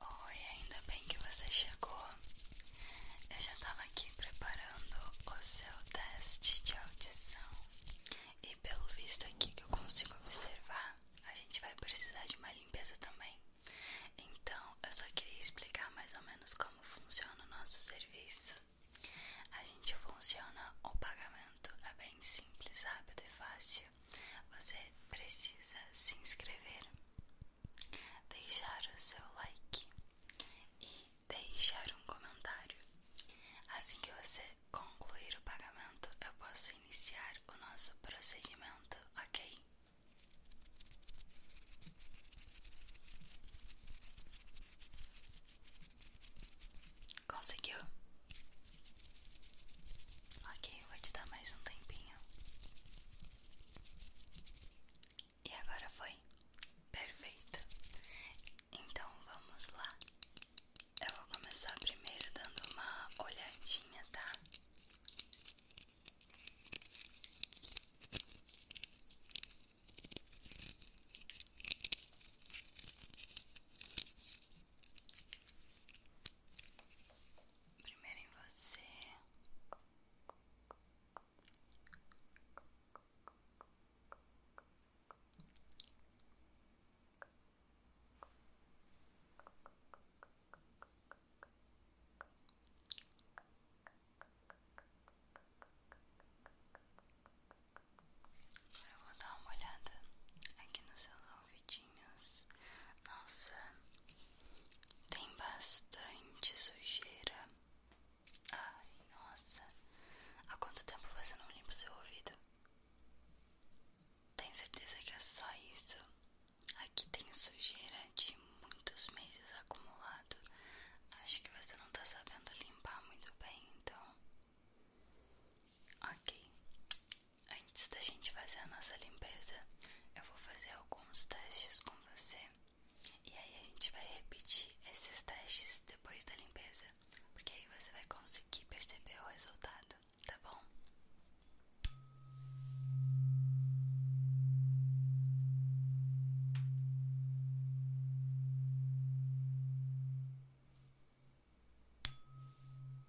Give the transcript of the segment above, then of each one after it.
Oi, ainda bem que você chegou. Eu já estava aqui preparando o seu teste de audição e pelo visto aqui que eu consigo observar, a gente vai precisar de uma limpeza também. Então, eu só queria explicar mais ou menos como funciona o nosso serviço. A gente funciona o pagamento é bem simples, rápido e fácil. Você precisa se inscrever deixar o seu like e deixar um comentário. Assim que você concluir o pagamento, eu posso iniciar o nosso procedimento, ok? Conseguiu? Ok, vou te dar mais um tempinho. E agora foi perfeito. Então vamos lá. Eu vou começar primeiro dando uma olhadinha, Tá primeiro em você. Agora eu vou dar uma olhada aqui nos seus ouvidinhos. Nossa, tem bastante sujeira. Ai, nossa. Há quanto tempo você não limpa o seu ouvido? tenho certeza que é só isso? Aqui tem sujeira de muitos meses acumulado. Acho que você não tá sabendo limpar muito bem, então. Ok, antes da gente fazer a nossa limpeza, eu vou fazer alguns testes com você. E aí a gente vai repetir esses testes depois da limpeza, porque aí você vai conseguir perceber o resultado, tá bom?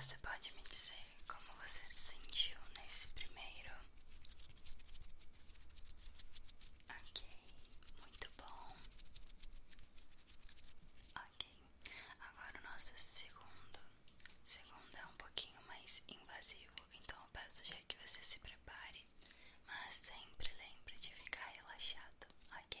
Você pode me dizer como você se sentiu nesse primeiro Ok, muito bom. Ok, agora o nosso segundo. Segundo é um pouquinho mais invasivo, então eu peço já que você se prepare, mas sempre lembre de ficar relaxado, ok?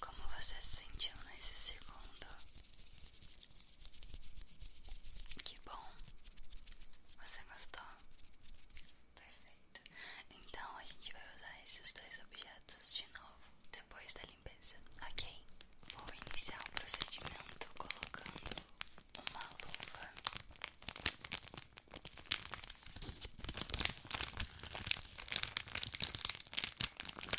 Como você se sentiu nesse segundo? Que bom! Você gostou? Perfeito! Então a gente vai usar esses dois objetos de novo depois da limpeza, ok? Vou iniciar o procedimento colocando uma luva.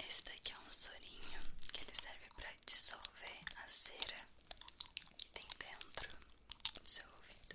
Esse daqui é um sorinho que ele serve para dissolver a cera que tem dentro do seu ouvido.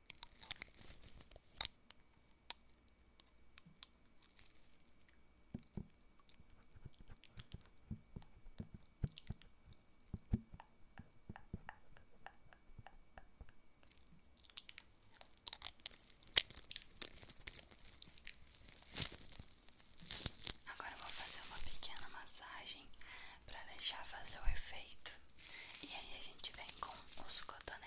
Agora vou fazer uma pequena massagem para deixar fazer o efeito. E aí a gente vem com os cotonetes.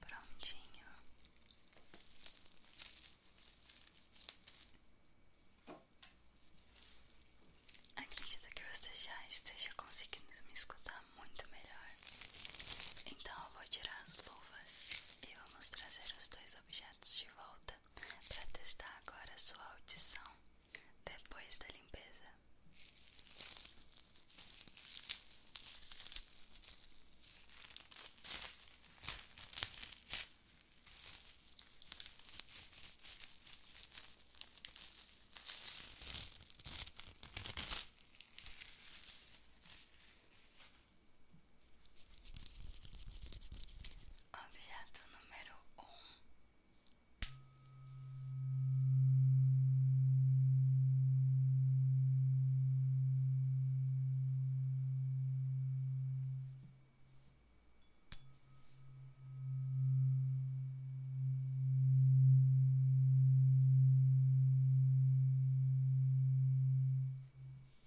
Prontinho. Acredito que você já esteja conseguindo me escutar muito melhor. Então eu vou tirar as luvas e vamos trazer os dois objetos de volta para testar agora sua audição depois da limpeza. Objeto número um.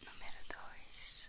Número dois.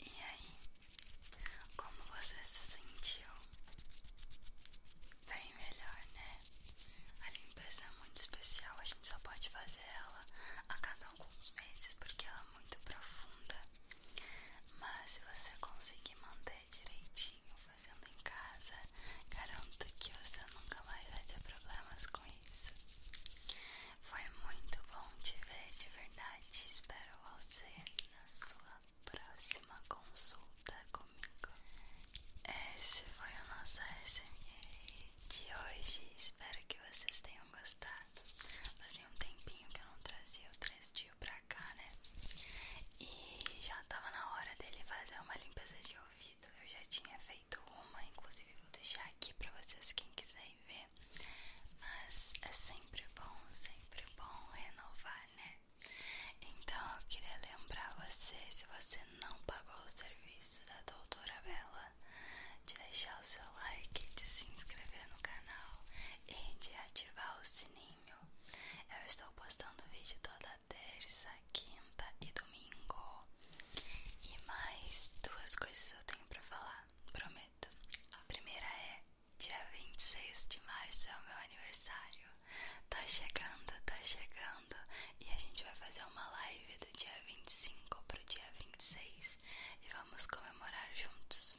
E aí, como você se sentiu? vem melhor, né? A limpeza é muito especial, a gente só pode fazer ela a cada alguns meses porque ela é muito profunda. Mas se você conseguir manter direitinho fazendo em casa, garanto que você nunca mais vai ter problemas com isso. Foi muito bom te ver de verdade. Espero você na sua próxima consulta com esse foi o nosso SMR de hoje. Espero que vocês tenham gostado. Fazia um tempinho que eu não trazia o 3 tio pra cá, né? E já tava na hora dele fazer uma limpeza de ouvido. Eu já tinha feito uma, inclusive vou deixar aqui pra vocês quem quiser ver. Mas é sempre bom, sempre bom renovar, né? Então eu queria lembrar você, se você não pagou o serviço da doutora Bela de deixar o seu like, de se inscrever no canal e de ativar o sininho. Eu estou postando vídeo toda terça, quinta e domingo. E mais duas coisas eu tenho pra falar, prometo. A primeira é: dia 26 de março é o meu aniversário. Tá chegando, tá chegando e a gente vai fazer uma live do dia 25 pro dia 26 e vamos comemorar juntos.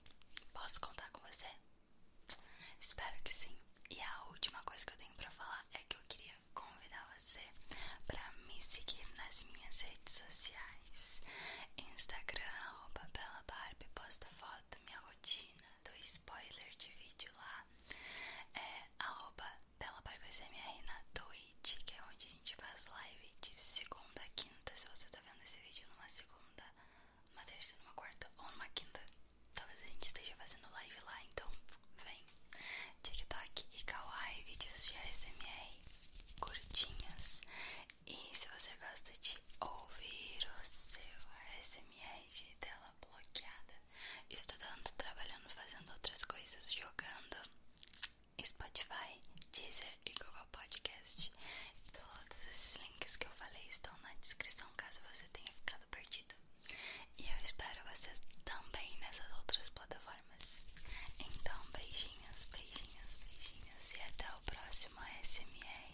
Posso contar com você? Espero que sim. E a última coisa que eu tenho para falar é que eu queria convidar você para me seguir nas minhas redes sociais. Instagram, arroba posto foto, minha rotina, do spoiler de vídeo lá lá. É arroba Bela BarbaSMR na Twitch, que é onde a gente faz live de segunda quinta. Se você tá vendo esse vídeo numa segunda, numa terça, numa quarta ou numa quinta, talvez a gente esteja fazendo live lá, então vem. TikTok e Kawaii, vídeos de ASMR curtinhos. E se você gosta de ouvir o seu ASMR de tela bloqueada, estudando, trabalhando, fazendo outras coisas, jogando Spotify, Deezer e Google Podcast. Todos esses links que eu falei estão na descrição caso você tenha ficado perdido. E eu espero vocês também nessas outras plataformas. Então, beijinhos, beijinhos, beijinhos e até o próximo ASMR.